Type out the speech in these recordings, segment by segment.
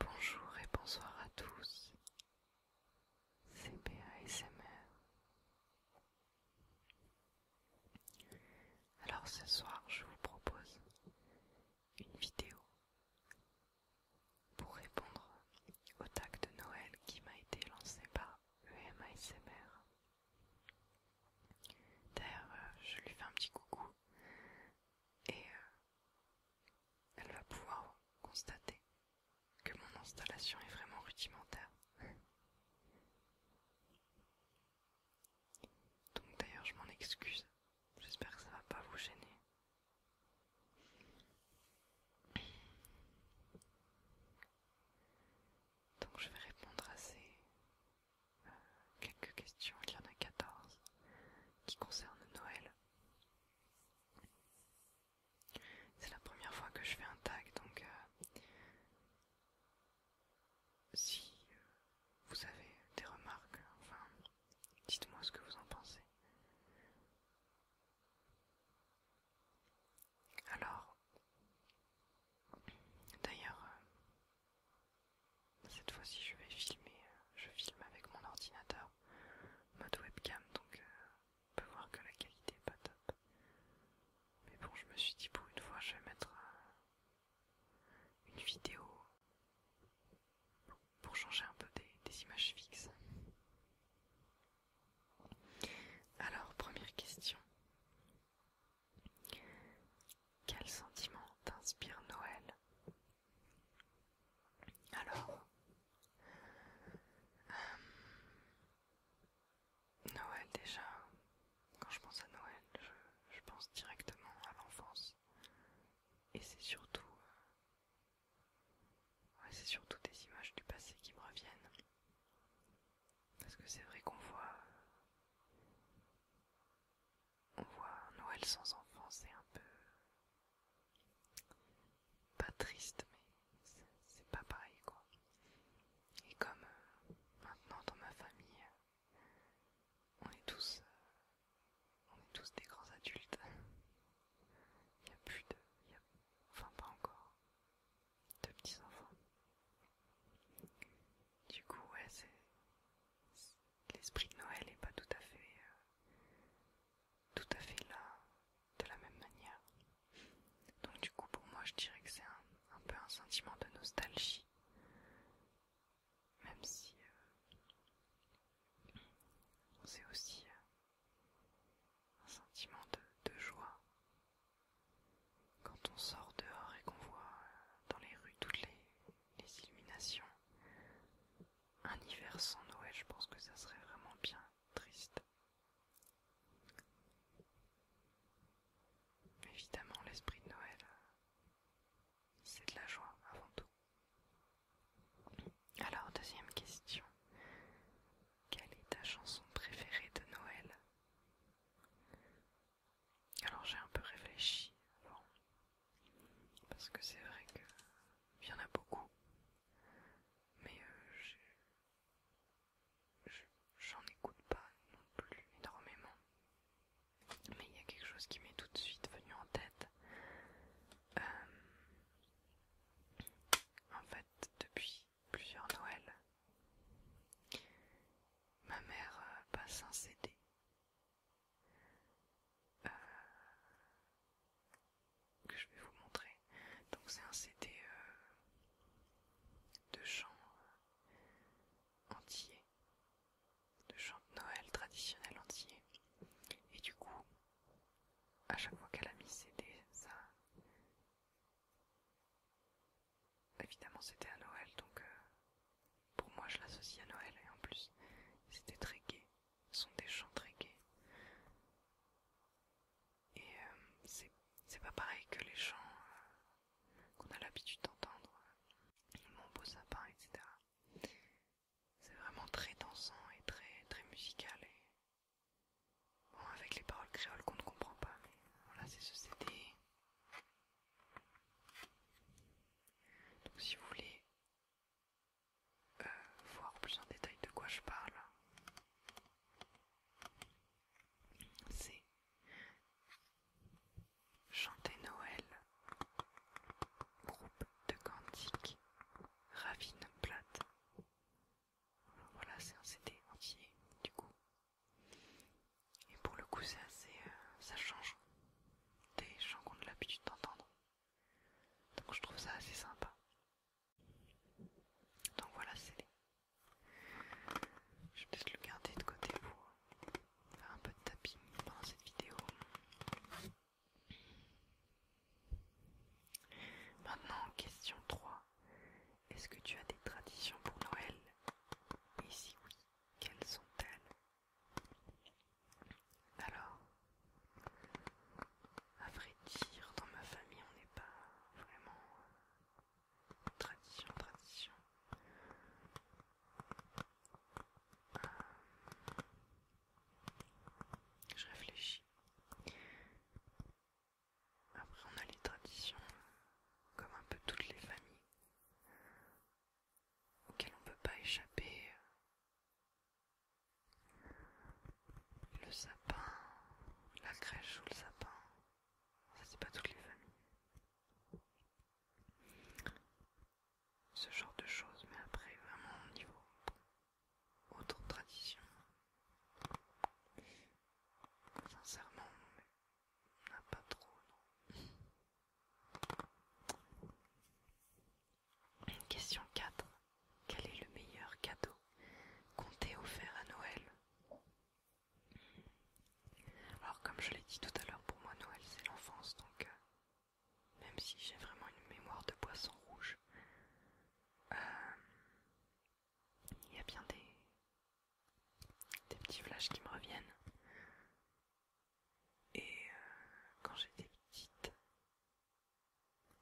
Bonjour et bonsoir à tous. CPA SMR. Alors ce soir, je vous propose une vidéo pour répondre au tag de Noël qui m'a été lancé par EMASMR. D'ailleurs, euh, je lui fais un petit coucou et euh, elle va pouvoir constater que mon installation est vraiment rudimentaire. Donc d'ailleurs je m'en excuse, j'espère que ça va pas vous gêner. Donc je vais répondre à ces euh, quelques questions, il y en a 14, qui concernent Noël. C'est la première fois que je fais un tag, donc euh, si euh, vous avez des remarques, enfin, dites-moi ce que vous en pensez. Alors, d'ailleurs, euh, cette fois-ci, je vais filmer. Euh, je filme avec mon ordinateur, mode webcam, donc euh, on peut voir que la qualité n'est pas top. Mais bon, je me suis dit pour une fois, je vais mettre euh, une vidéo pour changer un peu des, images fixes. Alors, première question. Quel sentiment t'inspire Noël alors, euh, Noël déjà, quand je pense à Noël, je, pense directement à l'enfance. Et c'est surtout... Euh, c'est surtout des images du passé qui me reviennent. Parce que c'est vrai qu'on voit on voit Noël sans enfants, c'est un peu pas triste, mais c'est pas pareil quoi. Et comme euh, maintenant dans ma famille, euh, on est tous, euh, on est tous des grands adultes. Il n'y a plus de, enfin pas encore, de petits enfants. Du coup ouais c'est l'esprit de Noël n'est pas tout à fait euh, tout à fait là de la même manière. Donc du coup pour moi je dirais que c'est un, peu un sentiment de nostalgie. Même si c'est euh, aussi euh, un sentiment de, joie. Quand on sort dehors et qu'on voit dans les rues toutes les, les illuminations, un hiver sans Noël, je pense que ça serait vraiment bien triste. Évidemment, l'esprit de Noël, euh, c'est de la joie avant tout. Alors, deuxième question. Quelle est ta chanson préférée de Noël Alors j'ai un peu réfléchi avant. Parce que c'est vrai qu'il y en a beaucoup. Mais euh, j'en écoute pas non plus énormément. Mais il y a quelque chose qui m'est tout de suite venu en tête. Euh, en fait, depuis plusieurs Noëls, ma mère euh, passe un CD euh, que je vais vous montrer. Donc c'est un CD euh, de chants entiers, euh, entier, de chants de Noël traditionnels entier. Et du coup, à chaque fois qu'elle a mis CD, ça... Évidemment c'était à Noël, donc pour moi, je l'associe à Noël et en plus, c'était très gai. Ce sont des chants très gais. Et euh, c'est pas pareil que les chants euh, qu'on a l'habitude d'entendre. Euh, mon beau sapin, etc. C'est vraiment très dansant et très, très musical. Et... Bon, avec les paroles créoles qu'on ne comprend pas, voilà, c'est ce CD. Donc, si vous voulez euh, voir plus en détail de quoi je parle, c'est Chanter Noël, groupe de cantiques, Ravine Plate. voilà, c'est un CD entier du coup. Et pour le coup, c'est euh, ça change des chants qu'on a l'habitude d'entendre. Donc je trouve ça assez sympa. Donc voilà, c'est Je vais peut-être le garder de côté pour faire un peu de tapping pendant cette vidéo. Maintenant, question 3. Est-ce que tu as des traditions pour Noël Et si oui, quelles sont-elles alors, à vrai dire, dans ma famille, on n'est pas vraiment euh, tradition, tradition. Euh, je réfléchis. Après, on a les traditions, comme un peu toutes les familles auquel on ne peut pas échapper. Euh, le sapin, la crèche ou le sapin, ça c'est pas toutes les familles. Ce genre de choses, mais après vraiment au niveau autre tradition. Sincèrement, on n'a pas trop, non. Question 4. Quel est le meilleur cadeau compté offert à Noël Alors comme je l'ai dit tout à l'heure, pour moi Noël c'est l'enfance, donc euh, même si j'ai vraiment une mémoire de poisson rouge, euh, il y a bien des petits flashs qui me reviennent. Et euh, quand j'étais petite,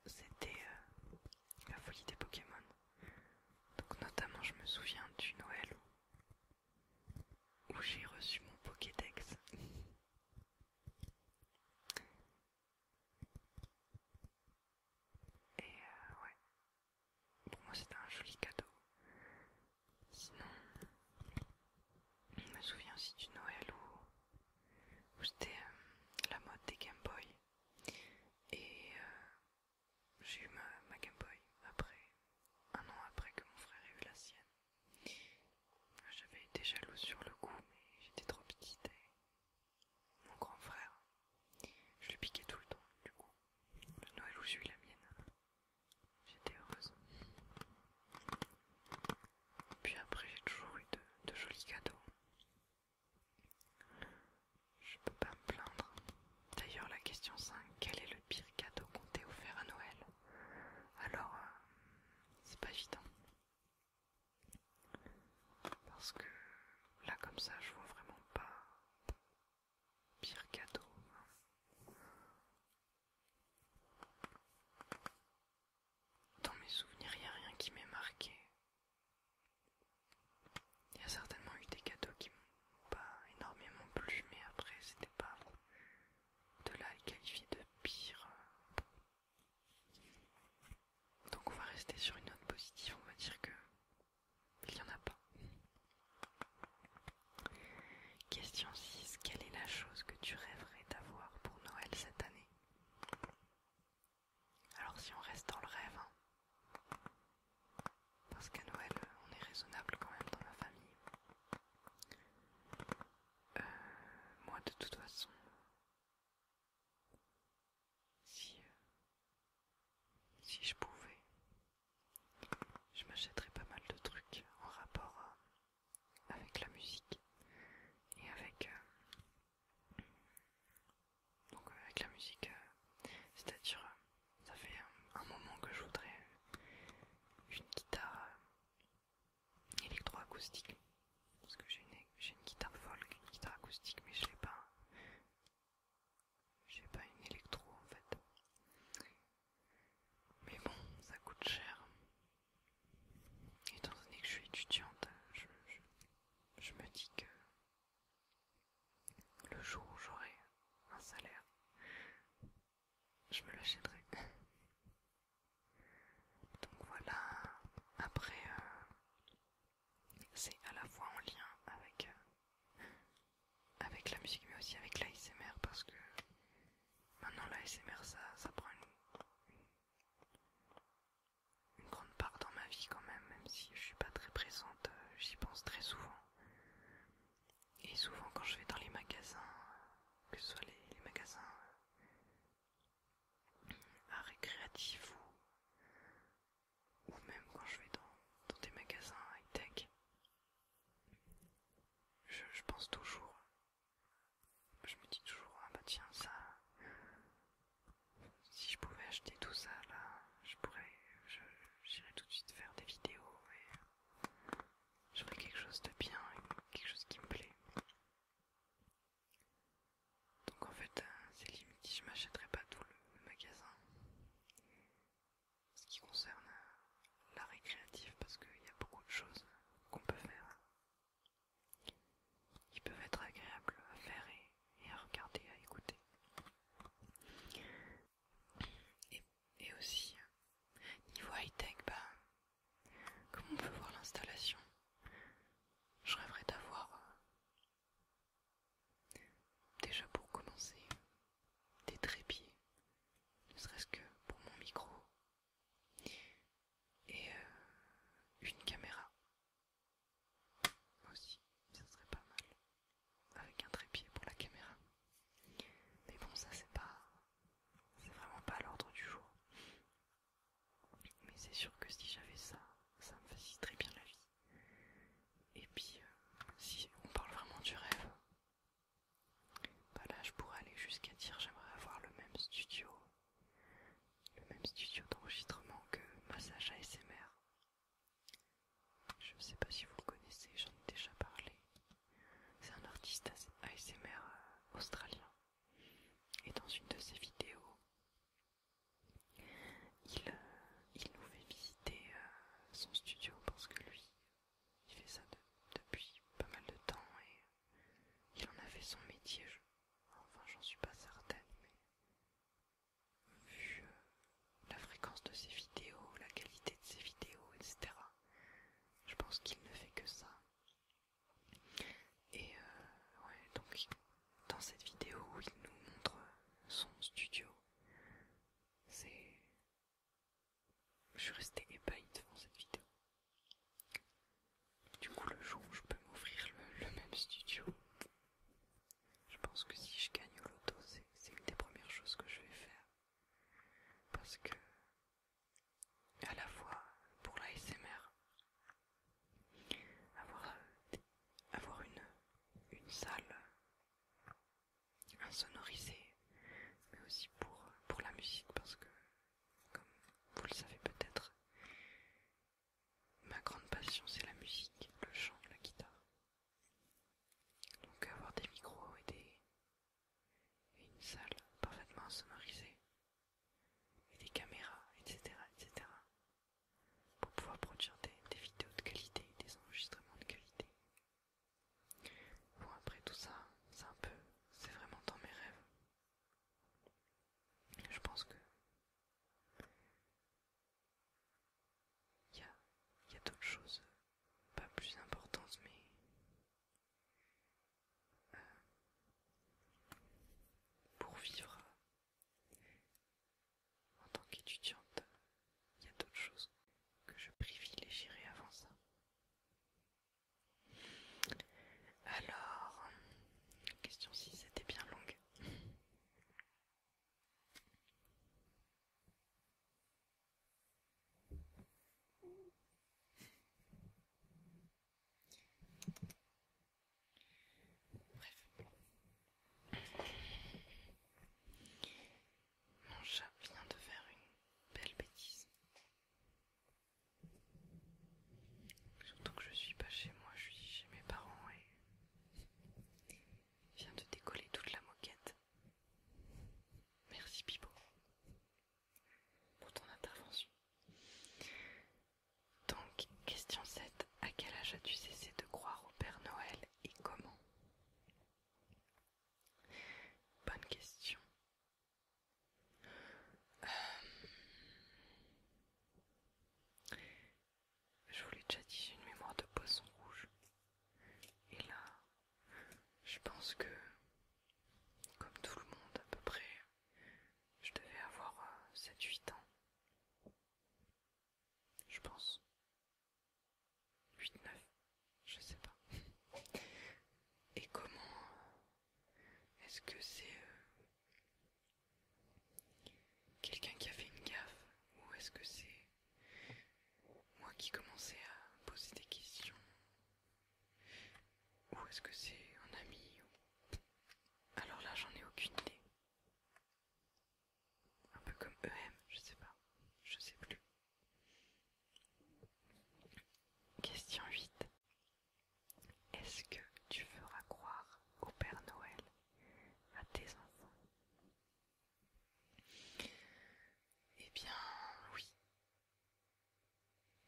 c'était euh, la folie des Pokémon. Donc notamment je me souviens du Noël où, j'ai reçu mon Pokédex. Et euh, ouais, pour moi c'était un joli cadeau. Sinon, je me souviens aussi du Noël où, c'était euh, la mode des Game Boy. Et euh, j'ai eu ma, Game Boy après, un an après que mon frère ait eu la sienne. J'avais été jalouse sur le coup, mais j'étais trop petite et mon grand frère, je lui piquais tout le temps, du coup, le Noël où j'ai eu la mienne. J'étais heureuse. Puis après, j'ai toujours eu de, jolis cadeaux. Je peux pas me plaindre. D'ailleurs, la question 5, quel est le pire cadeau qu'on t'ait offert à Noël Alors, euh, c'est pas évident. Parce que là, comme ça, je vois vraiment pas pire cadeau. Dans mes souvenirs, il n'y a rien qui m'ait marqué. Il y a certainement eu des cadeaux qui m'ont pas énormément plu, mais après, c'était pas de là à de pire. Donc, on va rester sur une note positive, on va dire que il n'y en a pas. Question 6. Quelle est la chose que tu rêverais d'avoir pour Noël cette année Alors si on reste dans le rêve, hein. parce qu'à Noël on est raisonnable quand même dans la famille. Euh, moi de toute façon, si, euh, si je pouvais, je m'achèterais pas mal de trucs en rapport à avec la musique et avec euh, donc avec la musique euh, c'est-à-dire euh, ça fait un, moment que je voudrais une guitare électro-acoustique. parce que j'ai une, une guitare folk, une guitare acoustique mais je n'ai pas j'ai pas une électro en fait mais bon, ça coûte cher. Étant donné que je suis étudiante, je, me dis que le jour où j'aurai un salaire, je me l'achèterai. Donc voilà, après, euh, c'est à la fois en lien avec euh, avec la musique mais aussi avec l'ASMR parce que maintenant l'ASMR ça, ça prend une, grande part dans ma vie quand même, même si je suis pas très présente, euh, j'y pense très souvent. Et souvent quand je vais dans les magasins, que ce soit les, magasins à euh, récréatif ou, ou même quand je vais dans, dans des magasins high-tech, je, pense toujours, je me dis toujours, ah bah tiens ça, si je pouvais acheter tout ça là, je pourrais, j'irais tout de suite faire des vidéos et j'aurais quelque chose de bien, quelque chose qui me plaît. Donc en fait, euh, c'est limite je m'achèterais pas tout le magasin ce qui concerne euh, la récréative parce qu'il y a beaucoup de choses qu'on peut faire qui peuvent être agréables à faire et, à regarder, à écouter. Et, aussi, niveau high-tech, bah, comme on peut voir l'installation, je rêverais d'avoir euh, déjà pour commencer des trépieds, ne serait-ce que pour mon micro, et euh, une caméra. Moi aussi, ça serait pas mal, avec un trépied pour la caméra. Mais bon, ça c'est pas, c'est vraiment pas l'ordre du jour. Mais c'est sûr que si j'avais ça, ça me faciliterait bien la vie. Et puis, euh, si on parle vraiment du rêve, bah là, je pourrais aller jusqu'à dire j'aimerais avoir le même studio, le même studio d'enregistrement que Massage ASMR. Je ne sais pas si vous le connaissez, j'en ai déjà parlé. C'est un artiste ASMR euh, australien. Et dans une de ses vidéos, il, euh, il nous fait visiter euh, son studio parce que lui, il fait ça depuis pas mal de temps et euh, il en a fait son métier. enfin, j'en suis pas certaine, mais vu euh, la fréquence de ses vidéos, la qualité de ses vidéos, etc., je pense qu'il ne fait que ça. Et euh, ouais, donc dans cette vidéo où il nous montre son studio, c'est je suis resté ébahi devant cette vidéo. Du coup, le jour où je peux m'offrir le, même studio, je pense que si je gagne au loto, c'est une des premières choses que je vais faire. Parce que, à la fois pour la euh, avoir, une salle insonorisé, mais aussi pour, la musique, parce que, comme vous le savez peut-être, ma grande passion c'est la musique, le chant, la guitare. Donc avoir des micros et, des, une salle parfaitement insonorisée, et des caméras, etc., etc., pour pouvoir produire des, des vidéos de qualité, des enregistrements de qualité, Bon, après tout ça, c'est un peu. C'est vraiment dans mes rêves. Je pense que. Il y a, d'autres choses pas plus importantes, mais. Euh, pour vivre en tant qu'étudiante, il y a d'autres choses que je privilégierais avant ça. Alors, question si c'était bien longue. Mon chat vient de faire une belle bêtise. Surtout que je suis pas chez moi, je suis chez mes parents et il vient de décoller toute la moquette. Merci Pipo pour ton intervention. Donc, question 7. À quel âge as-tu cessé de croire au Père Noël et comment Bonne question. Euh, je voulais l'ai déjà dit, une mémoire de poisson rouge. Et là, je pense que, comme tout le monde à peu près, je devais avoir 7-8 euh, ans. Je pense. 8, 9, je sais pas. Et comment euh, est-ce que c'est euh, quelqu'un qui a fait une gaffe ou est-ce que c'est moi qui commençais à poser des questions ou est-ce que c'est un ami Alors là j'en ai aucune idée. Un peu comme EM, je sais pas, je sais plus. Question 8. Est-ce que tu feras croire au Père Noël à tes enfants Eh bien, oui.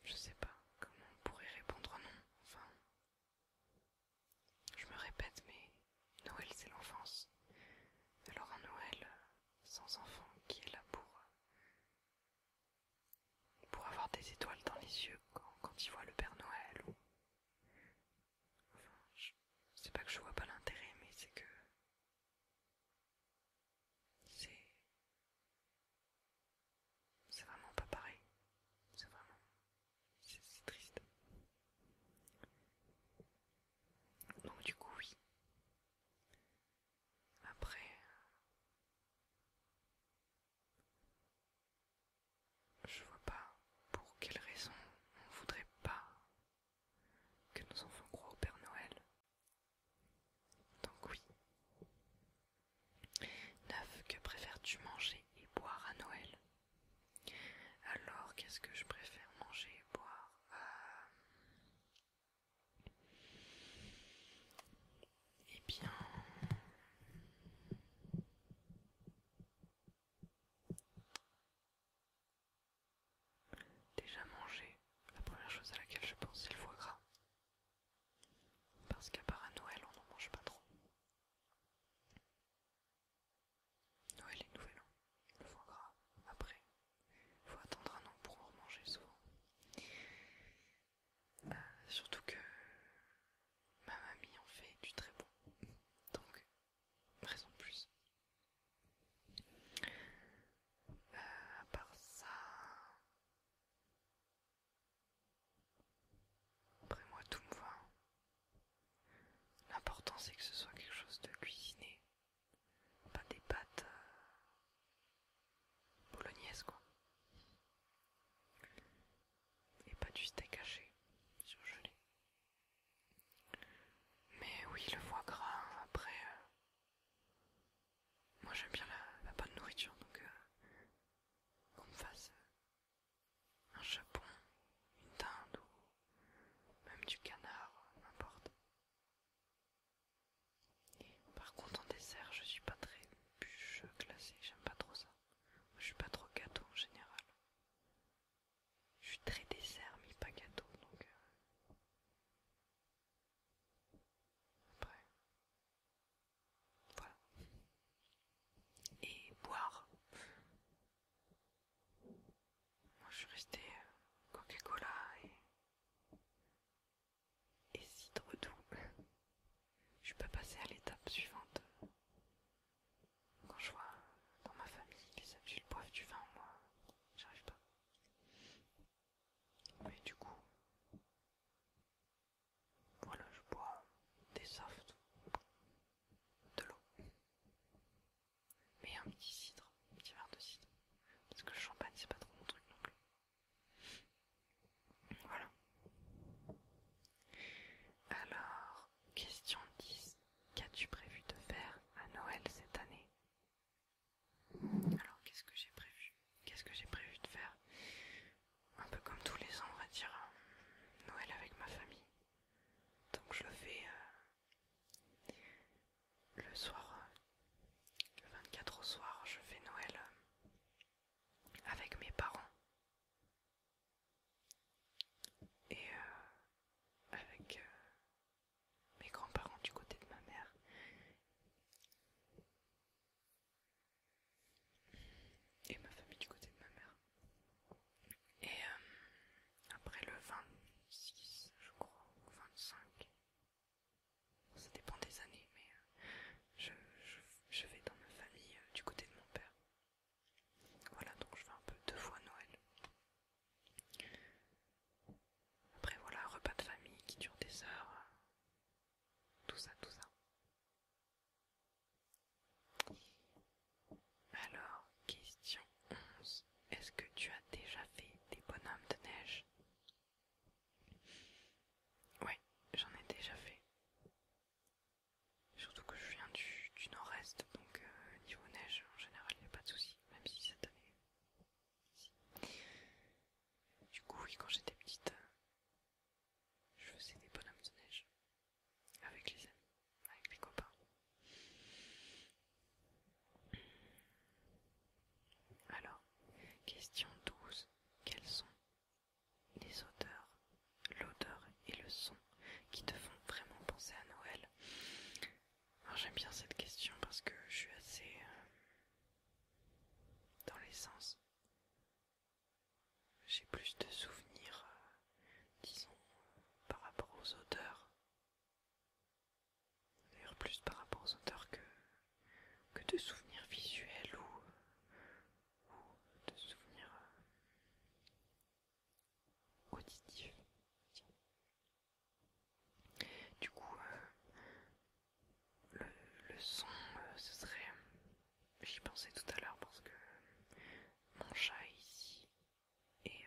Je sais pas comment on pourrait répondre non. Enfin, je me répète, mais Noël c'est l'enfance. Alors un Noël euh, sans enfant qui est là euh, pour, avoir des étoiles dans les yeux quand, quand il voit le Père Noël. Ou... Enfin, c'est pas que je vois pas l'intérêt, mais c'est que. C'est. C'est vraiment pas pareil. C'est vraiment. C'est triste. Donc, du coup, oui. Après, euh, je vois pas pour quelle raison on voudrait pas que nos enfants croient au Père Noël. Donc oui. Neuf, que préfères-tu manger et boire à Noël Alors, qu'est-ce que je préfère manger et boire euh, eh bien, déjà manger, la première chose à laquelle je pense, c'est le foie gras. Parce qu'à part à Noël, on n'en mange pas trop. Noël est Nouvel hein. le foie gras, après, faut attendre un an pour manger remanger souvent. Bah, surtout que ma mamie en fait du très bon. Donc, raison de plus. A euh, part ça... Après moi tout me va. L'important c'est que ce soit quelque chose de cuisiné pas des pâtes euh, quoi. Et pas du steak haché, surgelé. Mais oui, le foie gras, après... Euh, moi j'aime bien la, bonne nourriture, donc euh, qu'on me fasse un chapon, une teinte, ou même du canard, n'importe. Par contre, en dessert, je suis pas très bûcheux classé j'aime pas trop ça. je suis pas trop gâteau en général. Je suis très dessert, mais pas gâteau donc. Euh. Après. Voilà. Et boire. Moi je suis resté euh, Coca-Cola et, et cidre doux. Je peux passer à l'étape suivante. Quand je vois euh, dans ma famille les habituels boivent du vin, moi j'arrive pas. Mais du coup, voilà, je bois des softs, de l'eau mais un petit cidre, un petit verre de cidre, parce que le champagne c'est pas trop mon truc non plus. Voilà. Alors, question 10. Qu'as-tu prévu de faire à Noël cette année Alors, qu'est-ce que j'ai prévu Qu'est-ce que j'ai prévu de faire Un peu comme tous les ans, on va dire, euh, Noël avec ma famille. Donc je le fais euh, le soir, euh, le 24 au soir, je fais Noël euh, avec mes parents et euh, avec mes grands-parents du côté de ma mère. Et ma famille du côté de ma mère. Et après le 26, je crois, ou 25. Ça dépend des années, mais euh, je, vais dans ma famille euh, du côté de mon père. Voilà, donc je vais un peu deux fois Noël. Après, voilà, repas de famille qui dure des heures. Euh, tout ça, tout ça. Alors, question 11. Est-ce que tu as déjà fait des bonhommes de neige Ouais, j'en ai déjà fait. Surtout que je viens du, nord-est, donc euh, niveau neige, en général, il n'y a pas de souci, même si cette année... Du coup, oui, quand j'étais petite, euh, je faisais des bonhommes de neige avec les amis avec les copains. Alors, question 12. Quels sont les odeurs, l'odeur et le son qui te font vraiment penser à Noël j'aime bien cette question parce que je suis assez euh, dans les sens. J'ai plus de souvenirs, euh, disons, par rapport aux odeurs D'ailleurs plus par rapport aux auteurs que, que de souvenirs visuels ou, de souvenirs euh, auditifs. Du coup, euh, le, son, euh, ce serait... J'y pensais tout à l'heure parce que mon chat est ici et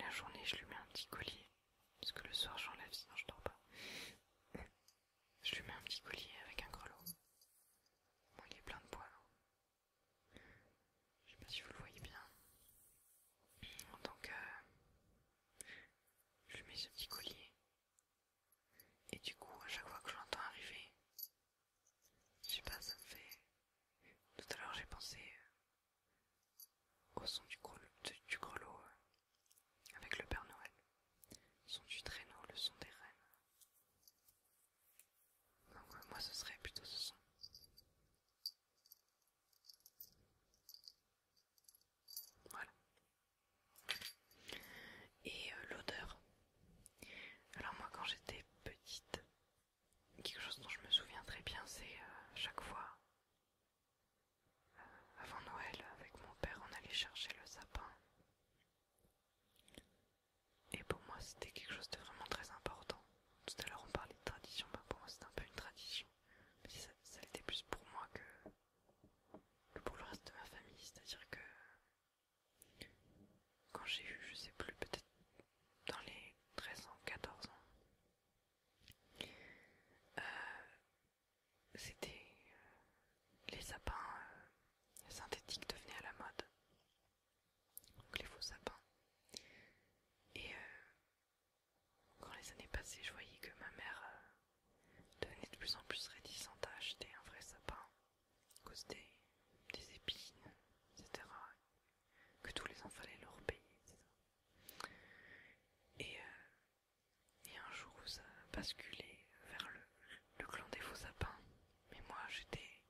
la journée, je lui mets un petit collier. Parce que le soir, j'enlève, sinon je dors pas. je lui mets un petit collier avec un grelot. il est plein de poils. Hein. Je sais pas si vous le voyez bien. Donc, je lui mets ce petit collier. Et du coup, à chaque fois que j'entends arriver, je sais pas, ça me fait. Tout à l'heure j'ai pensé euh, au son du, du, grelot euh, avec le Père Noël, le son du traîneau, le son des rennes. Donc euh, moi ce serait plutôt ce son. Voilà. Et l'odeur. Alors moi quand j'étais petite, quelque chose dont je me souviens très bien, c'est euh, chaque fois, euh, avant Noël, avec mon père, on allait chercher le sapin. Et pour moi, c'était quelque chose de vraiment très important. Tout à l'heure, on parlait de tradition, bah, pour moi, c'était un peu une tradition. Mais ça, plus pour moi que, pour le reste de ma famille. C'est-à-dire que quand j'ai eu, je sais plus, peut-être dans les 13 ans, 14 ans. Euh, c'était euh, les sapins euh, synthétiques devenaient à la mode, donc les faux sapins. Et quand les années passaient, je voyais que ma mère devenait de plus en plus réticente à acheter un vrai sapin à cause des épines, etc que tous les enfants fallait leur payer, Et, euh, et un jour ça basculait vers le, clan des faux sapins, mais moi j'étais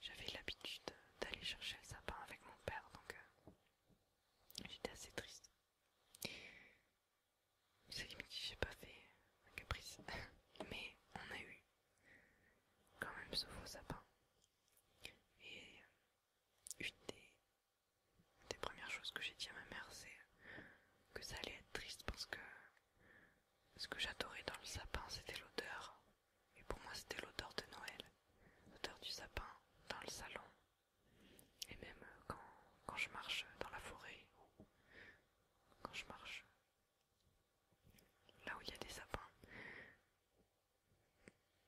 j'avais l'habitude d'aller chercher le sapin avec mon père, donc euh, j'étais assez triste. C'est limite que j'ai pas fait un caprice, mais on a eu quand même ce faux sapin et euh, une des, premières choses que j'ai dit à ma mère, c'est euh, que ça allait être triste parce que ce que j'adorais dans le sapin, c'était l'odeur. Et pour moi, c'était l'odeur de Noël, l'odeur du sapin dans le salon. Et même euh, quand, je marche dans la forêt, ou quand je marche là où il y a des sapins.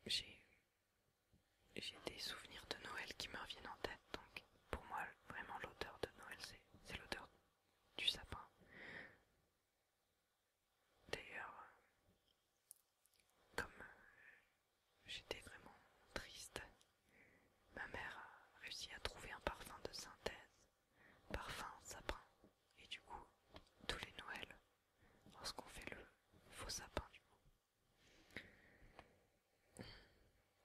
J'ai des souvenirs de Noël qui me reviennent en tête, donc pour moi, vraiment, l'odeur de Noël, c'est l'odeur du sapin. D'ailleurs, comme euh, j'étais vraiment triste, ma mère a réussi à trouver un parfum de synthèse parfum, sapin. Et du coup, tous les Noëls, lorsqu'on fait le faux sapin, du coup,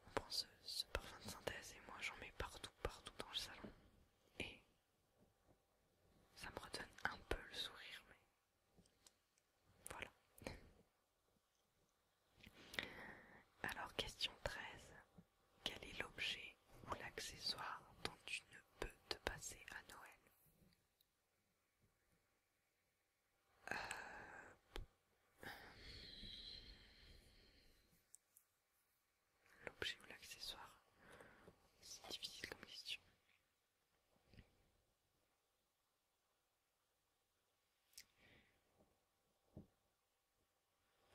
on prend ce, ce parfum de synthèse et moi j'en mets partout, partout dans le salon. Et ça me redonne un peu le sourire, mais voilà. Alors, question 13. Quel est l'objet ou l'accessoire dont tu ne peux te passer à Noël. Euh, l'objet ou l'accessoire, c'est difficile comme question.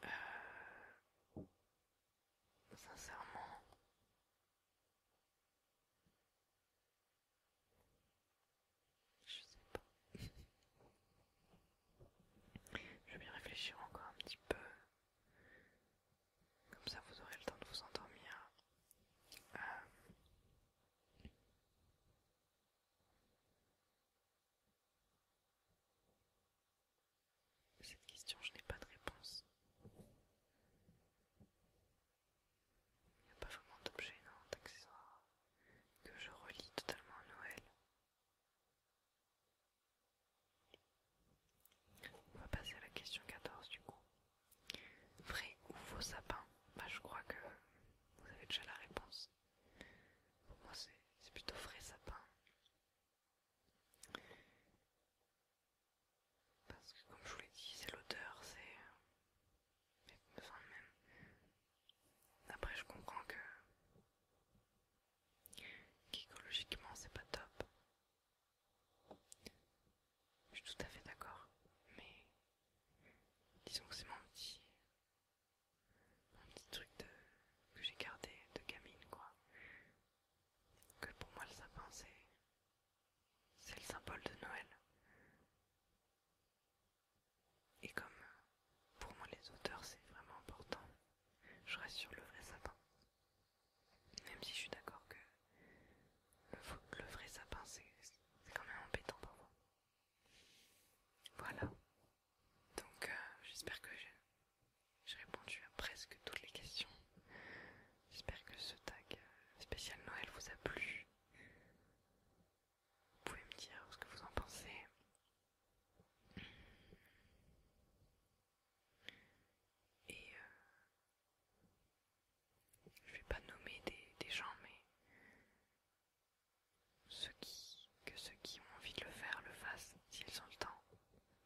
Euh, Sincèrement. Je sais pas. Je vais bien réfléchir encore un petit peu. Comme ça vous aurez le temps de vous endormir. Euh. Cette question, je n'ai pas de réponse. Il n'y a pas vraiment d'objet, non, d'accessoire que je relis totalement à Noël. On va passer à la question 14 du coup. Vrai ou faux sapin Bah je crois que vous avez déjà la réponse. Pour moi c'est plutôt vrai sapin. Parce que comme je vous l'ai dit, c'est l'odeur, c'est... me même. Après je comprends que... qu'écologiquement c'est pas top. Je suis tout à fait d'accord, mais... Disons que c'est mon petit... Un petit truc que j'ai gardé de gamine, quoi que pour moi le sapin c'est le symbole de Noël. Et comme pour moi les auteurs c'est vraiment important, je reste sur le vrai sapin. Même si je suis d'accord que le, vrai sapin c'est quand même embêtant moi Voilà. Donc euh, j'espère que j'ai répondu à presque toutes les questions. J'espère que ce tag euh, spécial Noël vous a plu. Vous pouvez me dire ce que vous en pensez. Et euh, je vais pas nommer des, des gens, mais ceux qui, que ceux qui ont envie de le faire le fassent s'ils ont le temps.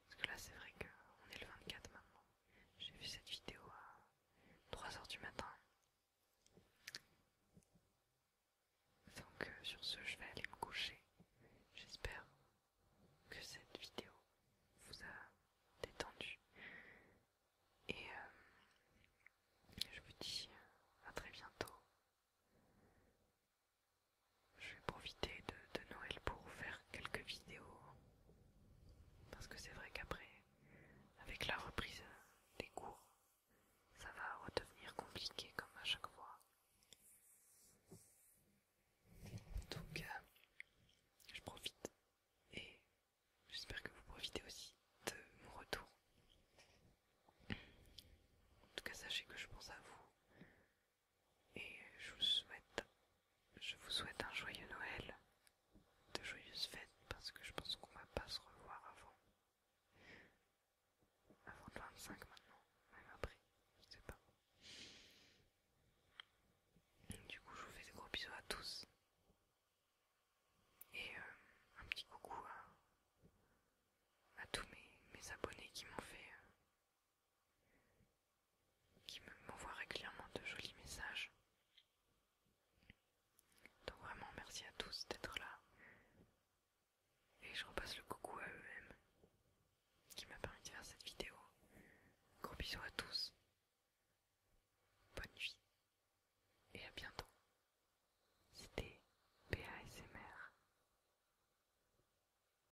Parce que là, c'est vrai qu'on est le 24 maintenant. J'ai vu cette vidéo à 3h du matin. Donc euh, sur ce, je vais aller me coucher. J'espère que cette vidéo vous a détendu. Et euh, je vous dis euh, à très bientôt je vais profiter de, Noël pour faire quelques vidéos. Parce que c'est vrai qu'après, avec la reprise des cours, ça va redevenir compliqué comme à chaque fois. Donc, cas, euh, je profite et j'espère que vous profitez aussi de mon retour. En tout cas, sachez que je pense à vous et je vous souhaite, je vous souhaite un joyeux Noël, de joyeuses fêtes parce que je pense qu'on va pas se revoir avant, avant le 25 maintenant, même après, je sais pas. Du coup, je vous fais des gros bisous à tous et euh, un petit coucou à, tous mes, abonnés qui m'ont fait. Euh, qui m'envoient régulièrement de jolis messages. Donc vraiment merci à tous d'être là. Et je repasse le coucou à eux-mêmes qui m'a permis de faire cette vidéo. Gros bisous à tous. Bonne nuit. Et à bientôt. C'était PASMR.